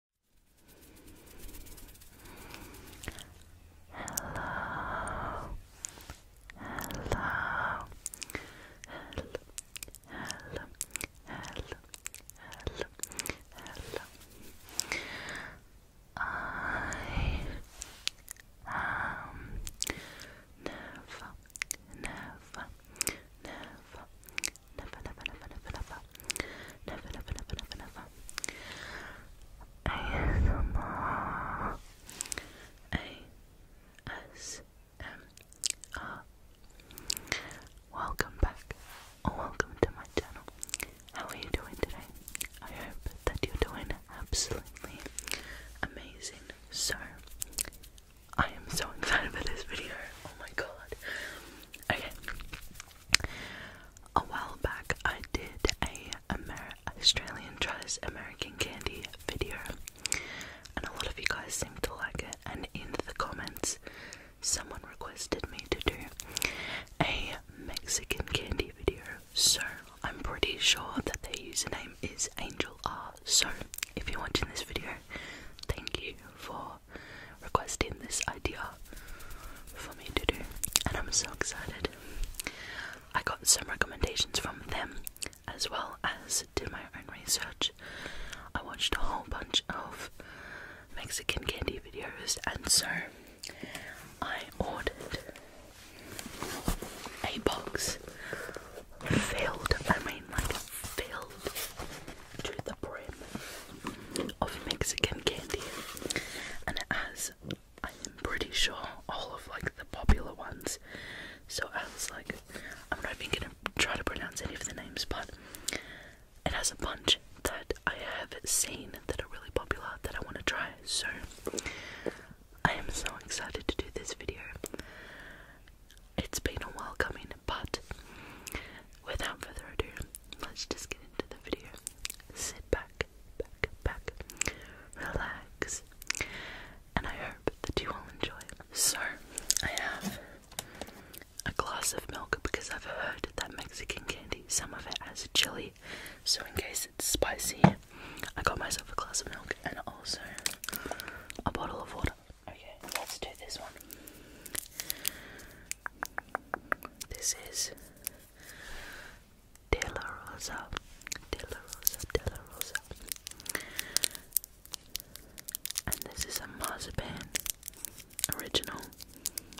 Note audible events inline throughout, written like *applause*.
Hello. Hello. Hello. Hello. Hello. Hello. Hello. I am never, never, never, never, never, never, never, never, never, never, never, never, never. ASMR. ASMR. Welcome back, or welcome to my channel. How are you doing today? I hope that you're doing absolutely amazing. So, I am so *laughs* excited for this video. Oh my god. Okay, a while back, I did a Australian tries American candy video, and a lot of you guys seem to like it. And in the comments, someone requested me to do a Mexican candy video, so I'm pretty sure that their username is Angel R. So, if you're watching this video, thank you for requesting this idea for me to do, and I'm so excited. I got some recommendations from them as well as did my own research. I watched a whole bunch of Mexican candy videos, and so I ordered a box filled, I mean, like filled to the brim of Mexican candy, and it has, I'm pretty sure, all of like the popular ones. So I was like, I'm not even gonna try to pronounce any of the names, but it has a bunch that I have seen that are really popular that I want to try. So I am so excited to do this video. It's been a while coming, but without further ado, let's just get into the video. Sit back, back, back, relax, and I hope that you all enjoy. So, I have a glass of milk because I've heard that Mexican candy, some of it has a chili, so in case it's spicy, I got myself a glass of milk and also a bottle of water. Okay, let's do this one. This is De Rosa, De Rosa, De Rosa. And this is a mazapan original.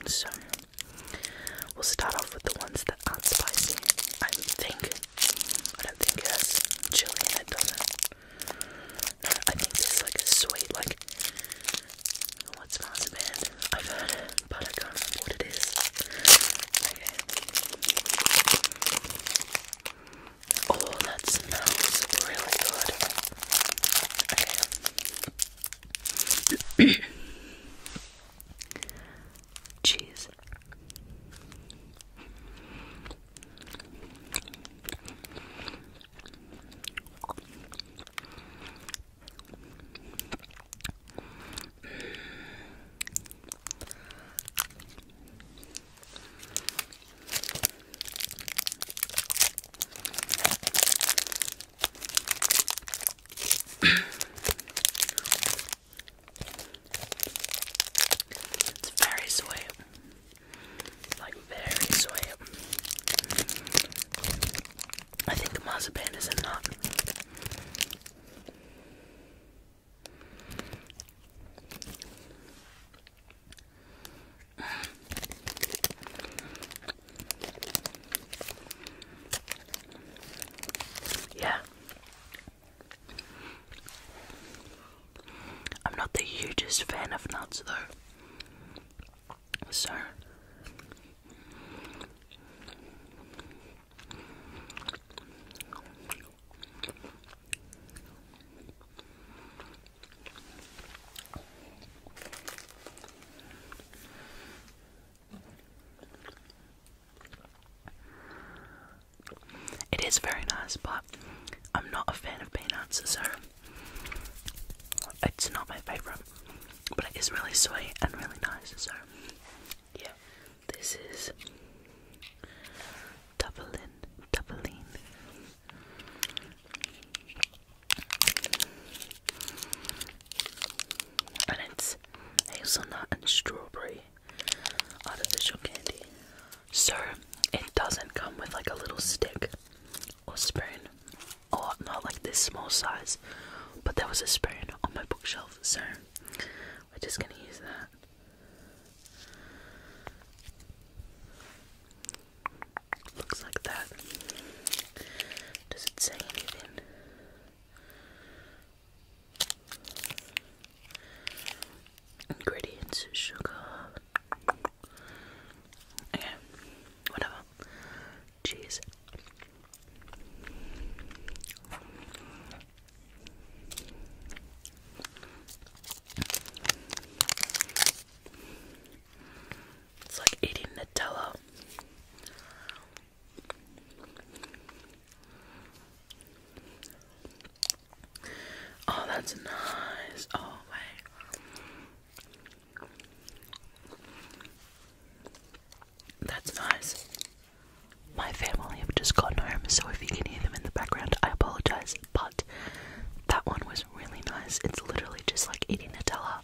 So we'll start off with the ones that aren't spicy. I think I don't think it has chili in it, does not I think this is like a sweet, like what smells a I've heard but I can't remember what it is. Oh, that smells really good. *coughs* Cheese it's very sweet. Like very sweet. I think Mazapan is in not. Yeah. I'm not the hugest fan of nuts though sir. It is very nice, but I'm not a fan of peanuts, so it's not my favorite. But it is really sweet and really nice. So, yeah, this is Dublin, Dublin. And it's hazelnut and strawberry artificial candy. So it doesn't come with like a little stick or spoon, or not like this small size, but there was a spoon on my bookshelf, so we're just gonna use that. Looks like that. Does it say anything? Ingredients sugar. Okay, whatever. Jeez, It's like eating Nutella. Oh, that's nice. Oh, wait. That's nice. My family have just gotten home, so if you can hear them in the background, I apologize. But that one was really nice. It's literally just like eating Nutella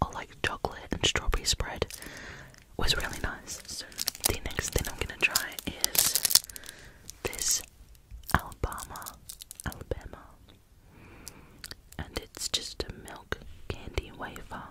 or like chocolate and strawberry spread. was really nice. So the next thing I'm gonna try is this Alabama, Alabama, and it's just a milk candy wafer.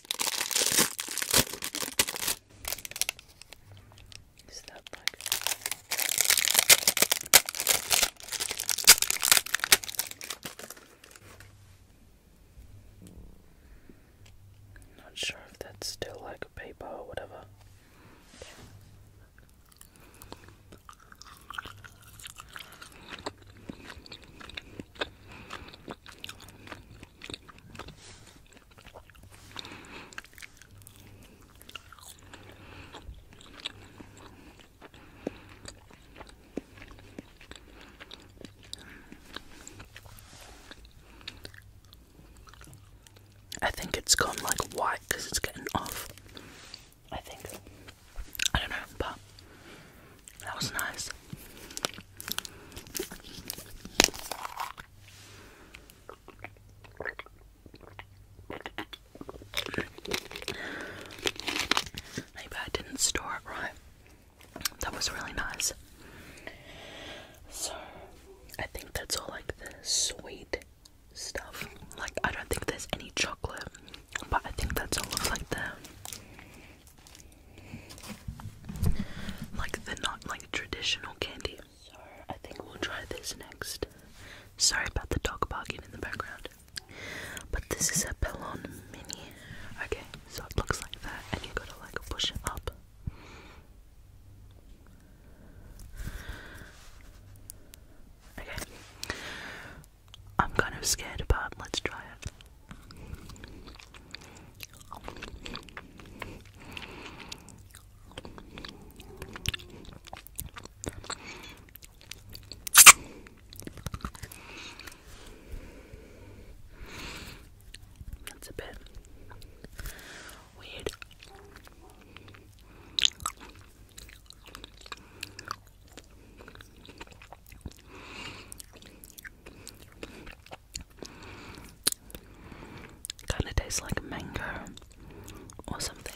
Is that like not sure if that's still like a paper or whatever. I think it's gone like white because it's getting off. I think. I don't know, but that was nice. Maybe I didn't store it right. That was really nice. So, I think that's all like the sweet stuff. Like, I don't think there's any chocolate, but I think that's all of like the like the not like traditional candy. So I think we'll try this next. Sorry about the dog barking in the background. But this is a Pelon Mini. Okay, so it looks like that and you gotta like push it up. Okay. I'm kind of scared, but let's try it. That's a bit weird. Kind of tastes like mango or something.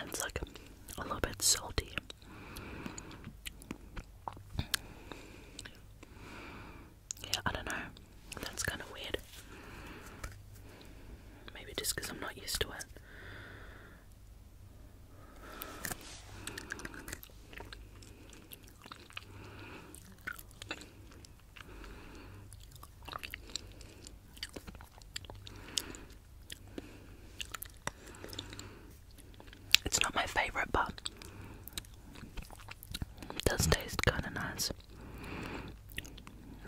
And it's like a little bit salty. Yeah, I don't know. That's kind of weird. Maybe just I'm not used to it. It's not my favorite, but it does taste kind of nice.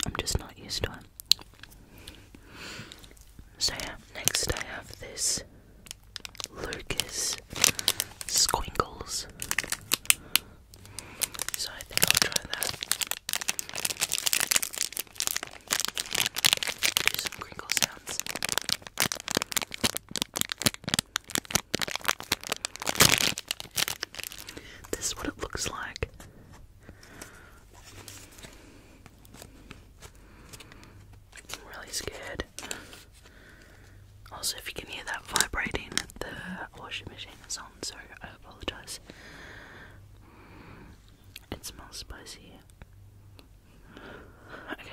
I'm just not used to it. So, yeah, next I have this Lucas Squinkles. So I think I'll try that. Do some crinkle sounds. This is what it looks like. I'm really scared. Also, if you can hear that vibrating, the washing machine is on, so I apologize. It smells spicy. Okay.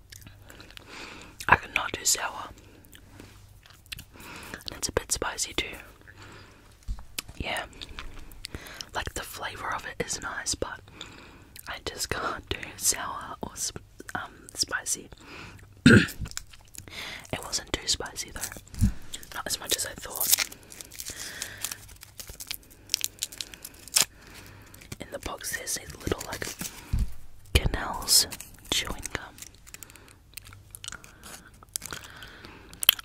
I could not do sour. it's a bit spicy too. Yeah. Like the flavour of it is nice, but I just *laughs* can't do sour or um, spicy. *clears throat* it wasn't too spicy though. Not as much as I thought. In the box, there's a little like canals chewing gum.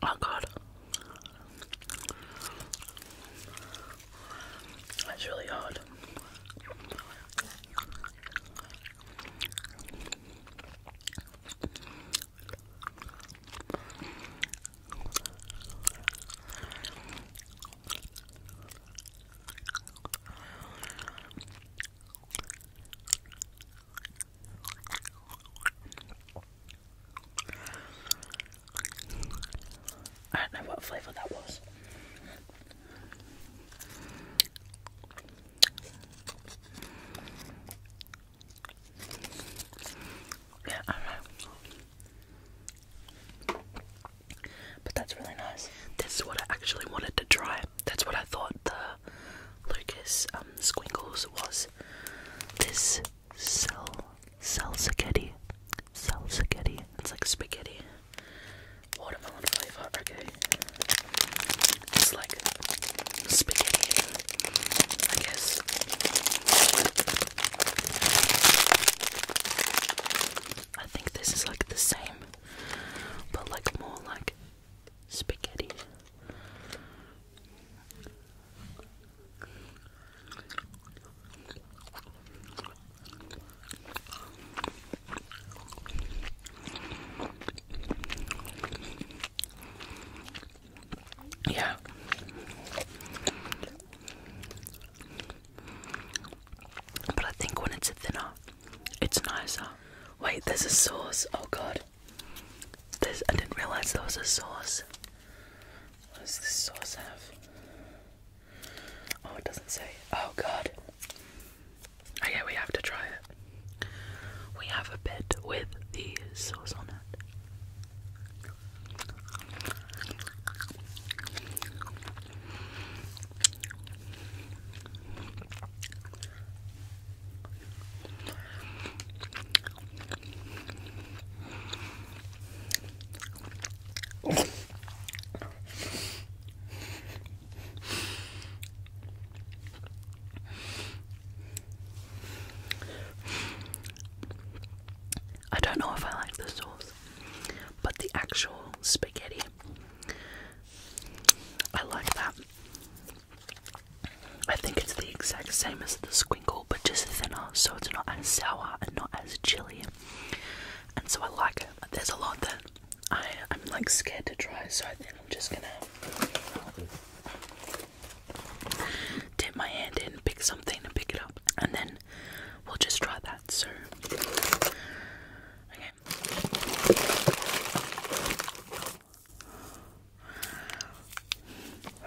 Oh god. That's really hard. I don't know what flavour that was. Yeah, I know. But that's really nice. This is what I actually wanted to try. That's what I thought the Lucas um, Squinkles was. This sal salsaghetti. spaghetti. It's like spaghetti. Watermelon flavor. Okay. It's like spaghetti, I guess. I think this is like the same, but like more like spaghetti. Yeah. But I think when it's thinner, it's nicer. Wait, there's a sauce. Oh god. There's I didn't realise there was a sauce. What's does this sauce have? Oh it doesn't say. Oh god. Oh yeah, we have to try it. We have a bit with the sauce on it. I don't know if I like the sauce, but the actual spaghetti I like that. I think it's the exact same as the squinkle, but just thinner, so it's not as sour and not as chilly. And so I like it. There's a lot that I, am like scared to try, so I think I'm just gonna dip my hand in, pick something, and pick it up, and then we'll just try that. So,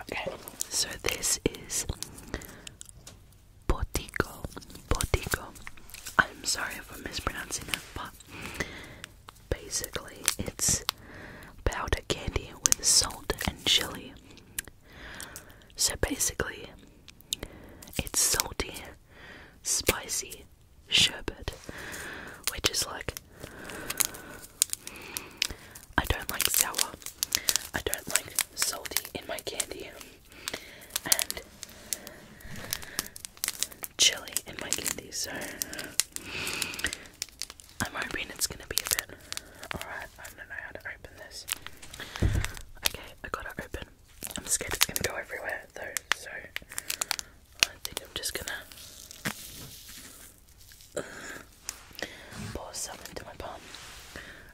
Okay, so this is Botico. Botico. I'm sorry for mispronouncing it, but basically it's powder candy with salt and chili. So basically, it's salty spicy sherbet, which is like I don't like sour, I don't like salty in my candy, and chili in my candy, so I'm hoping it's gonna be a bit. Alright, I don't know how to open this. Okay, I gotta open. I'm scared it's gonna go everywhere though, so I think I'm just gonna uh, pour some into my palm.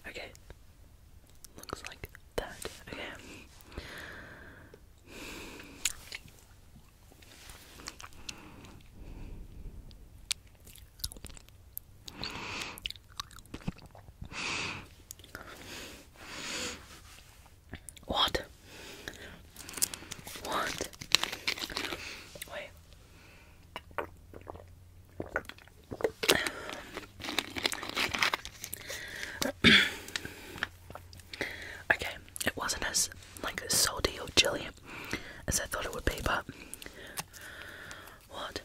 Okay, looks like that. Okay. What? What? Wait. *clears throat* okay, it wasn't as like salty or chilly as I thought it would be, but what?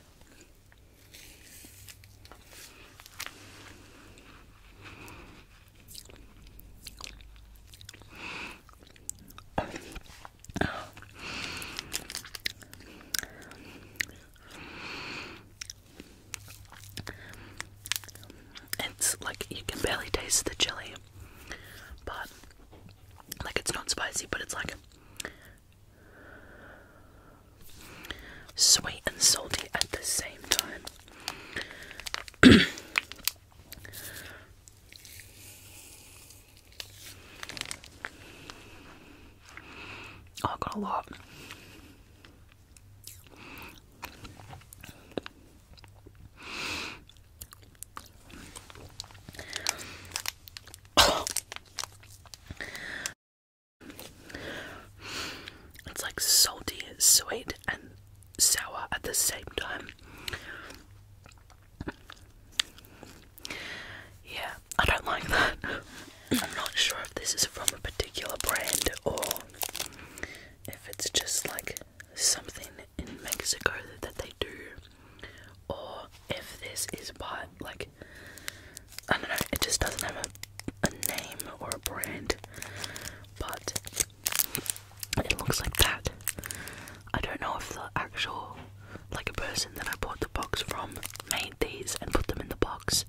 It's like you can barely taste the chili, but like it's not spicy, but it's like sweet and salty at the same time. Oh, I got a lot. It's like salty, sweet, and sour at the same time. Yeah, I don't like that. *laughs* I'm not sure if this is from a particular brand or if it's just like something in Mexico that they do, or if this is by like I don't know, it just doesn't have a, name or a brand, but it looks like that. I don't know if the actual, like a person that I bought the box from, made these and put them in the box,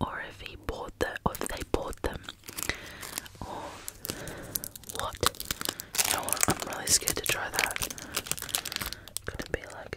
or if he bought them, or if they bought them, or what? I'm really scared to try that. Could it be like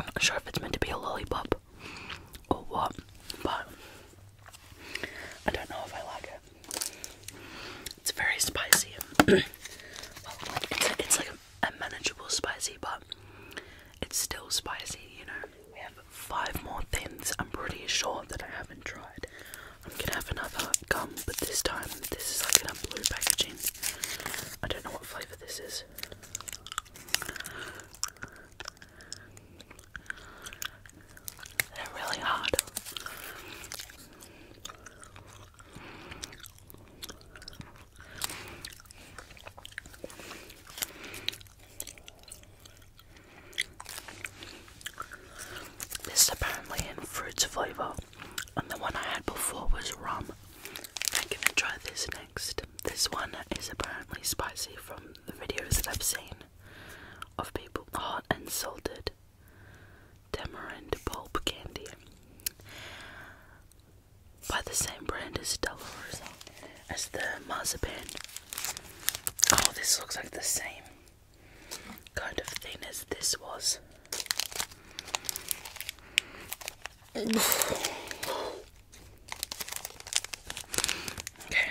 I'm not sure if it's meant to be a lollipop or what, but I don't know if I like it. It's very spicy. *clears throat* it's, like a, manageable spicy, but it's still spicy, you know. We have five more things I'm pretty sure that I haven't tried. I'm gonna have another gum, but this time this is like in a blue packaging. I don't know what flavour this is. They're really hot. This is apparently in fruits flavor, and the one I had before was rum. I'm gonna try this next. This one is apparently spicy from the videos that I've seen of people hot and salted, Tamarind pulp candy by the same brand as Dolores as the marzipan. Oh, this looks like the same kind of thing as this was. *sighs* okay,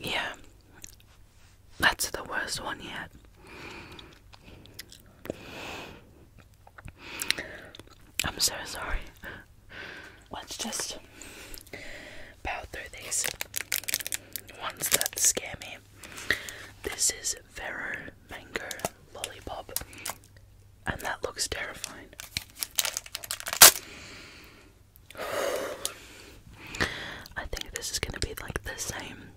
Yeah, that's the worst one yet. I'm so sorry. Let's just power through these ones that scare me. This is Vero Mango Lollipop, and that looks terrifying. *sighs* I think this is going to be like the same.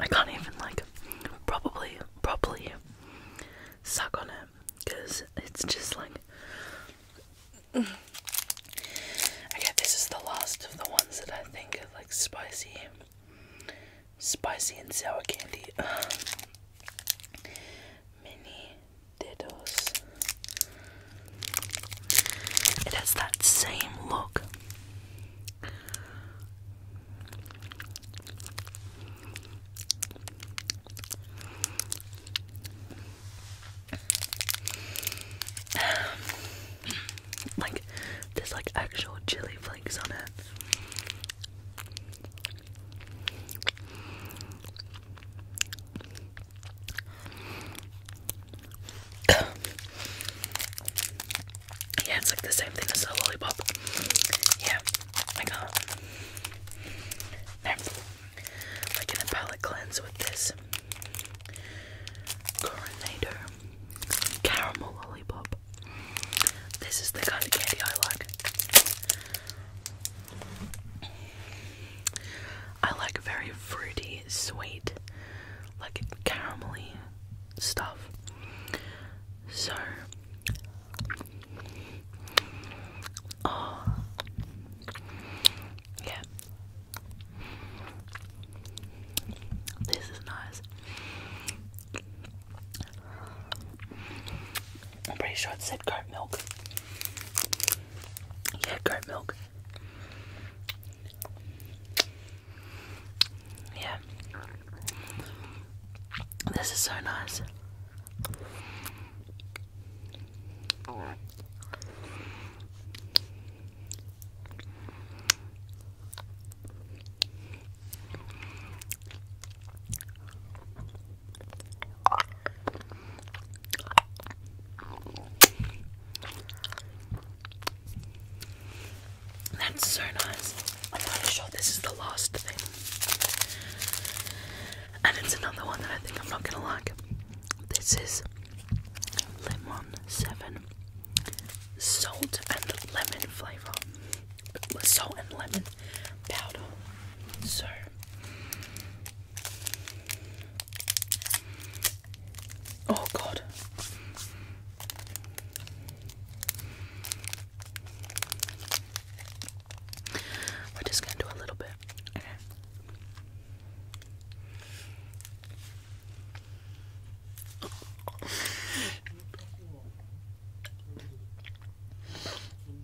I can't even like probably properly suck on it because it's just like Okay, this is the last of the ones that I think are like spicy spicy and sour candy. *sighs* mini Dedos. It has that same look. *sighs* like there's like actual chili flakes on it. *coughs* yeah, it's like the same thing as a lollipop. Yeah, I got Next, like in a palette cleanse with this Coronator Caramel Lollipop. This is the kind of candy I like. I like very fruity, sweet, like caramelly stuff. So, oh, yeah, this is nice. I'm pretty sure it said goat milk. Yeah, goat milk. Yeah. This is so nice. That's so nice. I'm pretty sure this is the last thing. And it's another one that I think I'm not gonna like. This is Lemon 7 Salt and Lemon Flavour. Salt and Lemon Powder. So, Oh, God. We're just going to do a little bit. Okay.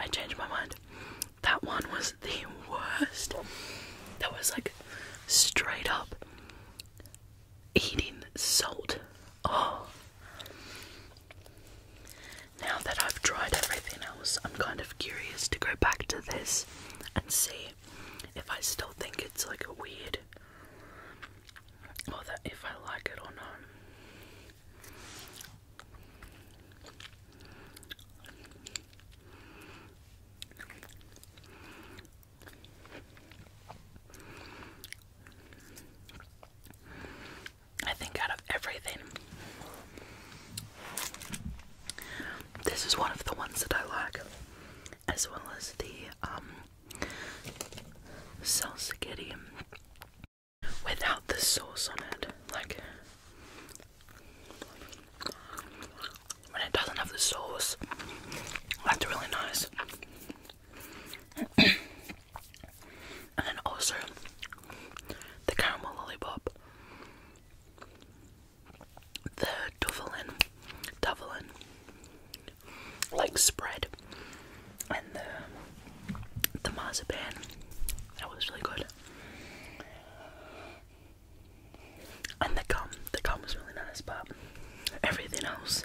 I changed my mind. That one was the worst. That was like straight up eating salt. Oh. Now that I've tried everything else, I'm kind of curious to go back to this and see if I still think it's like a weird or that if I like it or not. I think out of everything, this is one of the ones that I like, as well as the um, salsa without the sauce on it. Like, when it doesn't have the sauce, that's really nice. *clears throat* and also the caramel lollipop, the duvelin, duvelin, like spread, and the the marzipan. That was really good. And the gum, the gum was really nice, but everything else,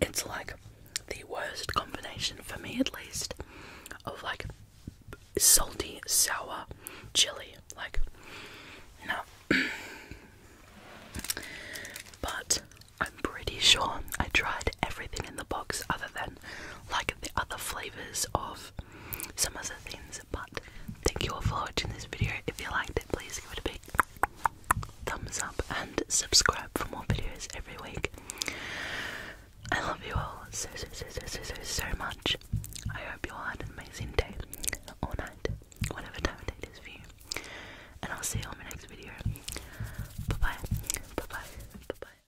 it's like the worst combination for me at least of like salty, sour, chili. Like, no. *clears throat* but I'm pretty sure I tried everything in the box other than like the other flavors of some other things. But thank you all for watching this video. If you liked it, please give it a big thumbs up and subscribe for more videos every week. I love you all so, so, so, so, so, so, so much. I hope you all had an amazing day all night, whatever time of day it is for you. And I'll see you on my next video. Bye bye. Bye bye. Bye bye.